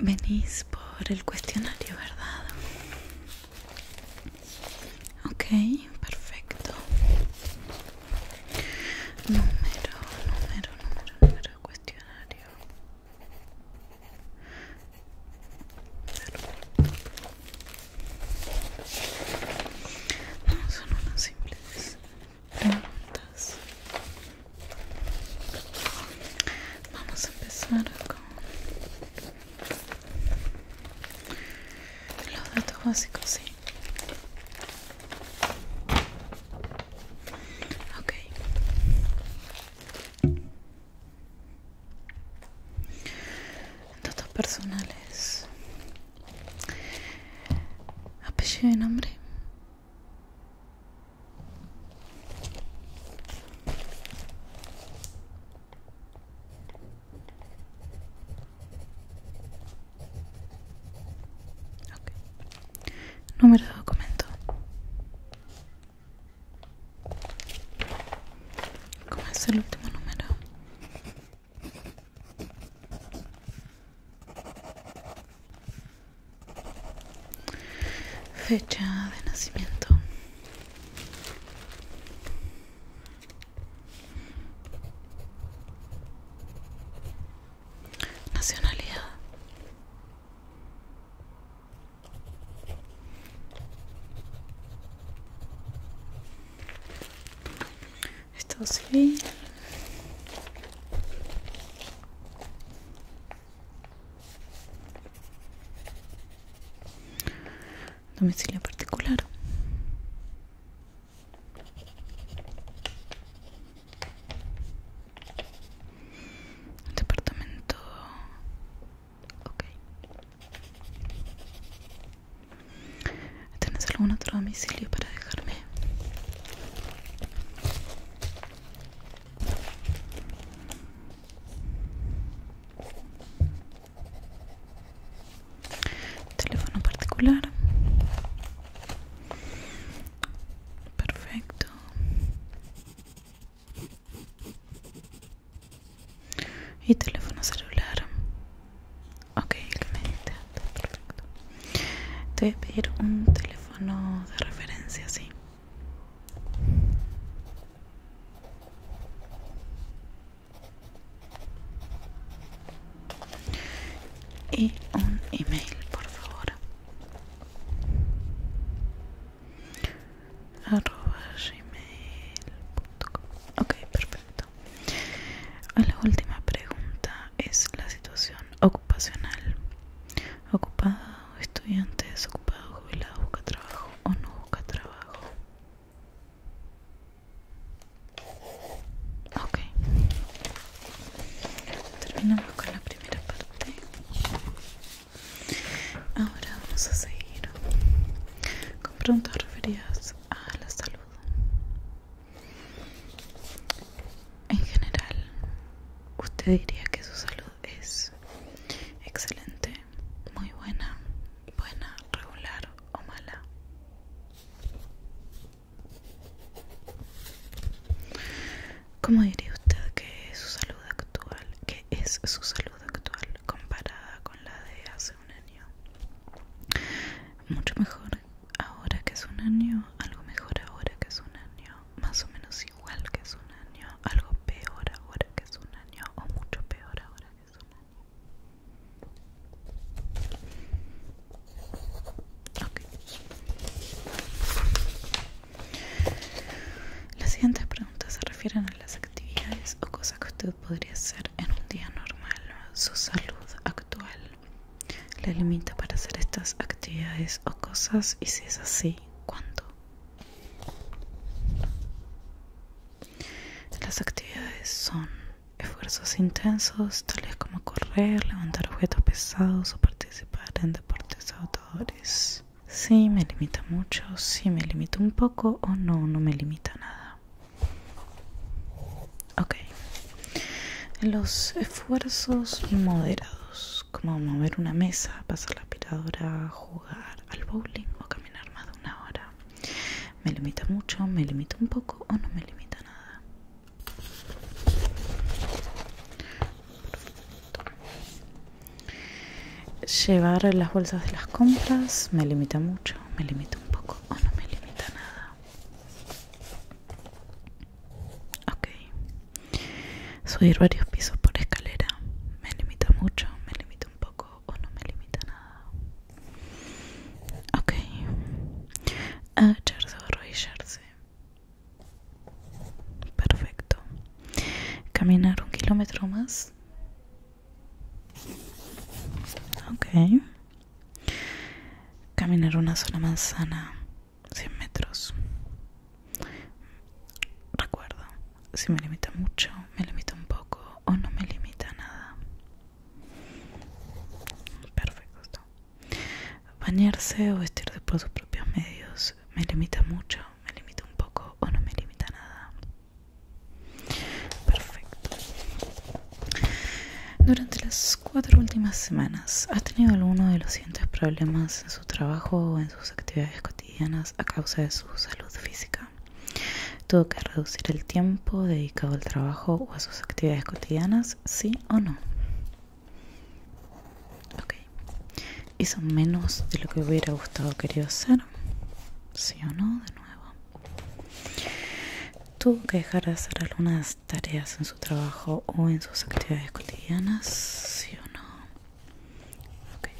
Venís por el cuestionario, ¿verdad? Ok, perfecto. Número, número, número, número, cuestionario. No son unas simples preguntas. Vamos a empezar con los datos básicos, sí. Ok. Datos personales. Apellido y nombre. Número de documento. ¿Cómo es el último número? Fecha de nacimiento. Nacionalidad. Estado civil. Domicilio particular. Departamento. Ok. ¿Tenés algún otro domicilio para dejarme? Teléfono particular perfecto y teléfono celular ok perfecto te voy pedir un teléfono de referencia sí y un email por favor arroba gmail.com ok perfecto la última pregunta es la situación ocupacional ¿Ocupado, estudiante desocupado jubilado busca trabajo o no busca trabajo Ok. Terminamos con la primera parte. Ahora vamos a seguir con preguntas referidas a la salud. En general, usted diría que su salud es excelente, muy buena, buena, regular o mala. ¿Cómo diría usted que es su salud actual? ¿Qué es su salud actual comparada con la de hace un año? Mucho mejor ahora que es un año, algo mejor ahora que es un año, más o menos igual que es un año, algo peor ahora que es un año o mucho peor ahora que es un año. Las siguientes preguntas se refieren a las actividades o cosas que usted podría hacer en un día normal. Su salud actual le limita para hacer estas actividades o cosas y si es así, ¿cuándo? Las actividades son Esfuerzos intensos, tales como correr, levantar objetos pesados o participar en deportes agotadores. Sí, me limita mucho, sí, me limita un poco o no, no me limita nada. Ok. Los esfuerzos moderados, como mover una mesa, pasar la aspiradora, jugar al bowling o caminar más de una hora. Me limita mucho, me limita un poco o no me limita nada. Llevar las bolsas de las compras me limita mucho, me limita un poco o no me limita nada. Ok. Subir varios pisos por escalera me limita mucho, me limita un poco o no me limita nada. Ok. Agacharse ah, o arrodillarse. Perfecto. Caminar un kilómetro más. Ok. Caminar una sola manzana. 100 metros. Recuerdo, si me limita mucho, me limita un poco o no me limita nada. Perfecto. Bañarse o vestirse por sus propios medios me limita mucho, me limita un poco o no me limita nada. Perfecto. Durante las cuatro últimas semanas, ¿has tenido alguno de los siguientes problemas en su trabajo o en sus actividades cotidianas a causa de su salud física? Tuvo que reducir el tiempo dedicado al trabajo o a sus actividades cotidianas, sí o no. Ok. Hizo menos de lo que hubiera gustado querido hacer, sí o no, de nuevo. Tuvo que dejar de hacer algunas tareas en su trabajo o en sus actividades cotidianas, sí o no. Okay.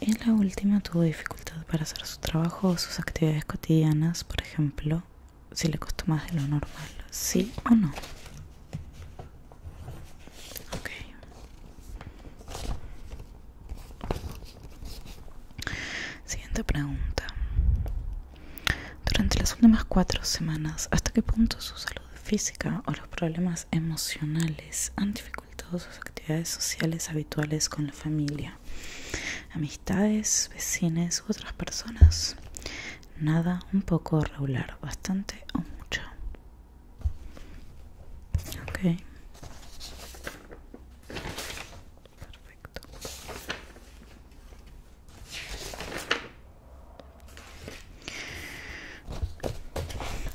Y la última tuvo dificultad para hacer trabajo o sus actividades cotidianas, por ejemplo, si le costó más de lo normal, ¿sí o no? Siguiente pregunta. Durante las últimas cuatro semanas, ¿hasta qué punto su salud física o los problemas emocionales han dificultado sus actividades sociales habituales con la familia? amistades, vecines otras personas. Nada, un poco regular, bastante o mucho. Ok. Perfecto.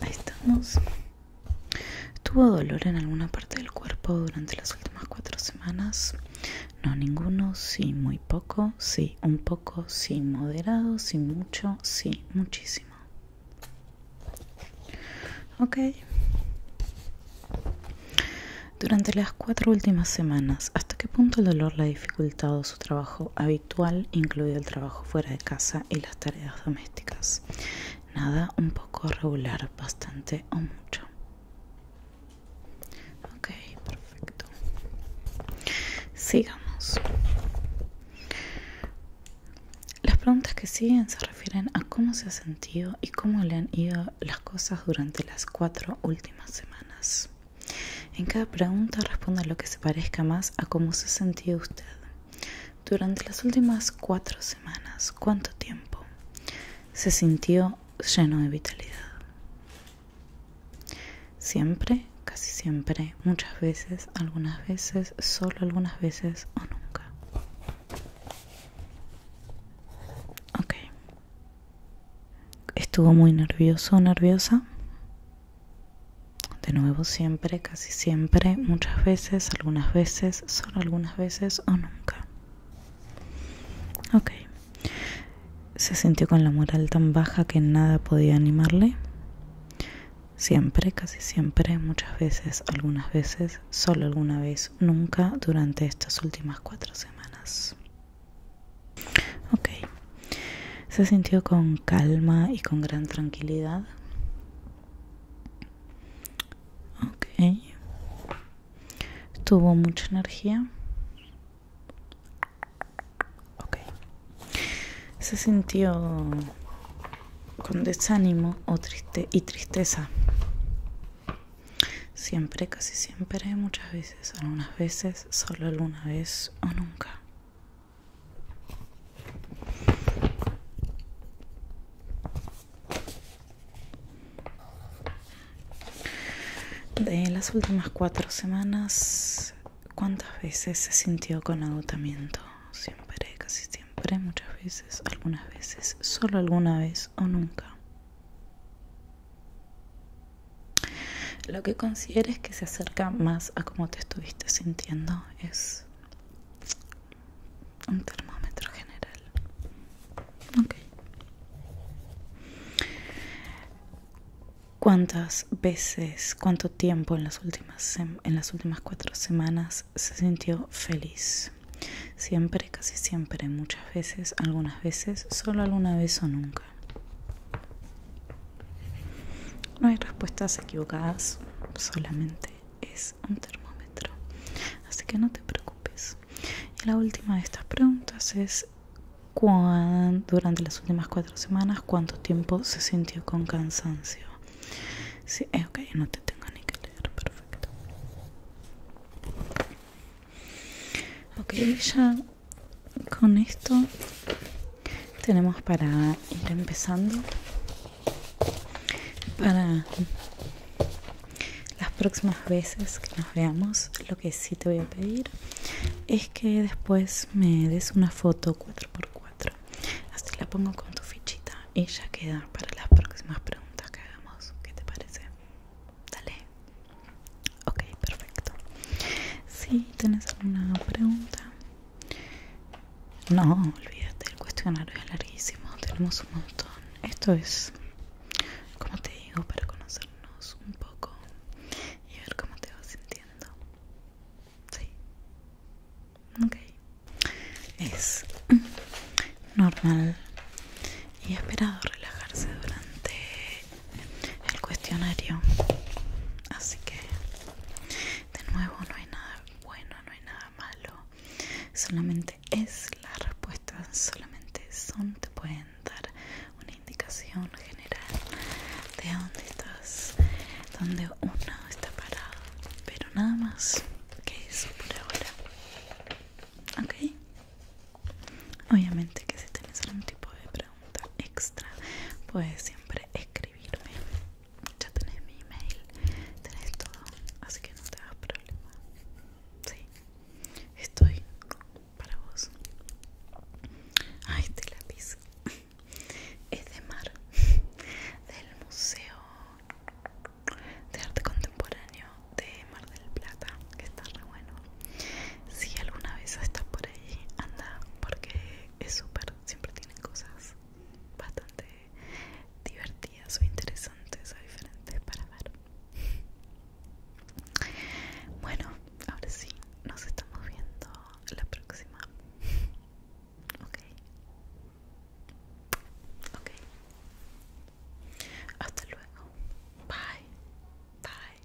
Ahí estamos. ¿Tuvo dolor en alguna parte del cuerpo durante las últimas cuatro semanas? No, ninguno, sí, muy poco, sí, un poco, sí, moderado, sí, mucho, sí, muchísimo. Ok. Durante las cuatro últimas semanas, ¿hasta qué punto el dolor le ha dificultado su trabajo habitual, incluido el trabajo fuera de casa y las tareas domésticas? Nada, un poco regular, bastante o mucho perfecto sigamos las preguntas que siguen se refieren a cómo se ha sentido y cómo le han ido las cosas durante las cuatro últimas semanas en cada pregunta responda lo que se parezca más a cómo se ha sentido usted durante las últimas cuatro semanas, ¿cuánto tiempo? Se sintió lleno de vitalidad. Siempre, casi siempre, muchas veces, algunas veces, solo algunas veces o nunca. Estuvo muy nervioso nerviosa. De nuevo, siempre, casi siempre, muchas veces, algunas veces, solo algunas veces o nunca. Ok. Se sintió con la moral tan baja que nada podía animarle. Siempre, casi siempre, muchas veces, algunas veces, solo alguna vez, nunca durante estas últimas cuatro semanas. Ok. Se sintió con calma y con gran tranquilidad ok tuvo mucha energía ok se sintió con desánimo y tristeza siempre casi siempre muchas veces algunas veces solo alguna vez o nunca de las últimas cuatro semanas, ¿cuántas veces se sintió con agotamiento? Siempre, casi siempre, muchas veces, algunas veces, solo alguna vez o nunca. Lo que consideres que se acerca más a cómo te estuviste sintiendo es un termómetro general cuántas veces cuánto tiempo en las últimas en las últimas cuatro semanas se sintió feliz siempre casi siempre muchas veces algunas veces solo alguna vez o nunca no hay respuestas equivocadas solamente es un termómetro así que no te preocupes y la última de estas preguntas es ¿cuán, durante las últimas cuatro semanas cuánto tiempo se sintió con cansancio sí eh, ok no te tengo ni que leer perfecto ok ya con esto tenemos para ir empezando para las próximas veces que nos veamos lo que sí te voy a pedir es que después me des una foto 4x4 así la pongo con tu fichita y ya queda para las próximas preguntas que hagamos ¿qué te parece? dale ok perfecto si tienes alguna pregunta no, olvídate, el cuestionario es larguísimo, tenemos un montón. Esto es, como te digo, para conocernos un poco y ver cómo te vas sintiendo. Sí. Ok. Es normal y esperado relajarse durante el cuestionario. Así que, de nuevo, no hay nada bueno, no hay nada malo solamente es la respuesta, solamente son, te pueden dar una indicación general de dónde estás, dónde uno está parado, pero nada más que eso por ahora. Ok, obviamente que si tienes algún tipo de pregunta extra, puedes siempre escribirme ya tenés mi email, tenés todo, así que no te hagas problema. Sí, estoy para vos. Ah, este lápiz es de Mar, del Museo de Arte Contemporáneo de Mar del Plata, que está re bueno. Si alguna vez estás por ahí, anda, porque es súper, siempre tienen cosas bastante divertidas o interesantes o diferentes para ver. Bueno, ahora sí, nos estamos viendo la próxima. Ok. Ok. Hasta luego. Bye. Bye.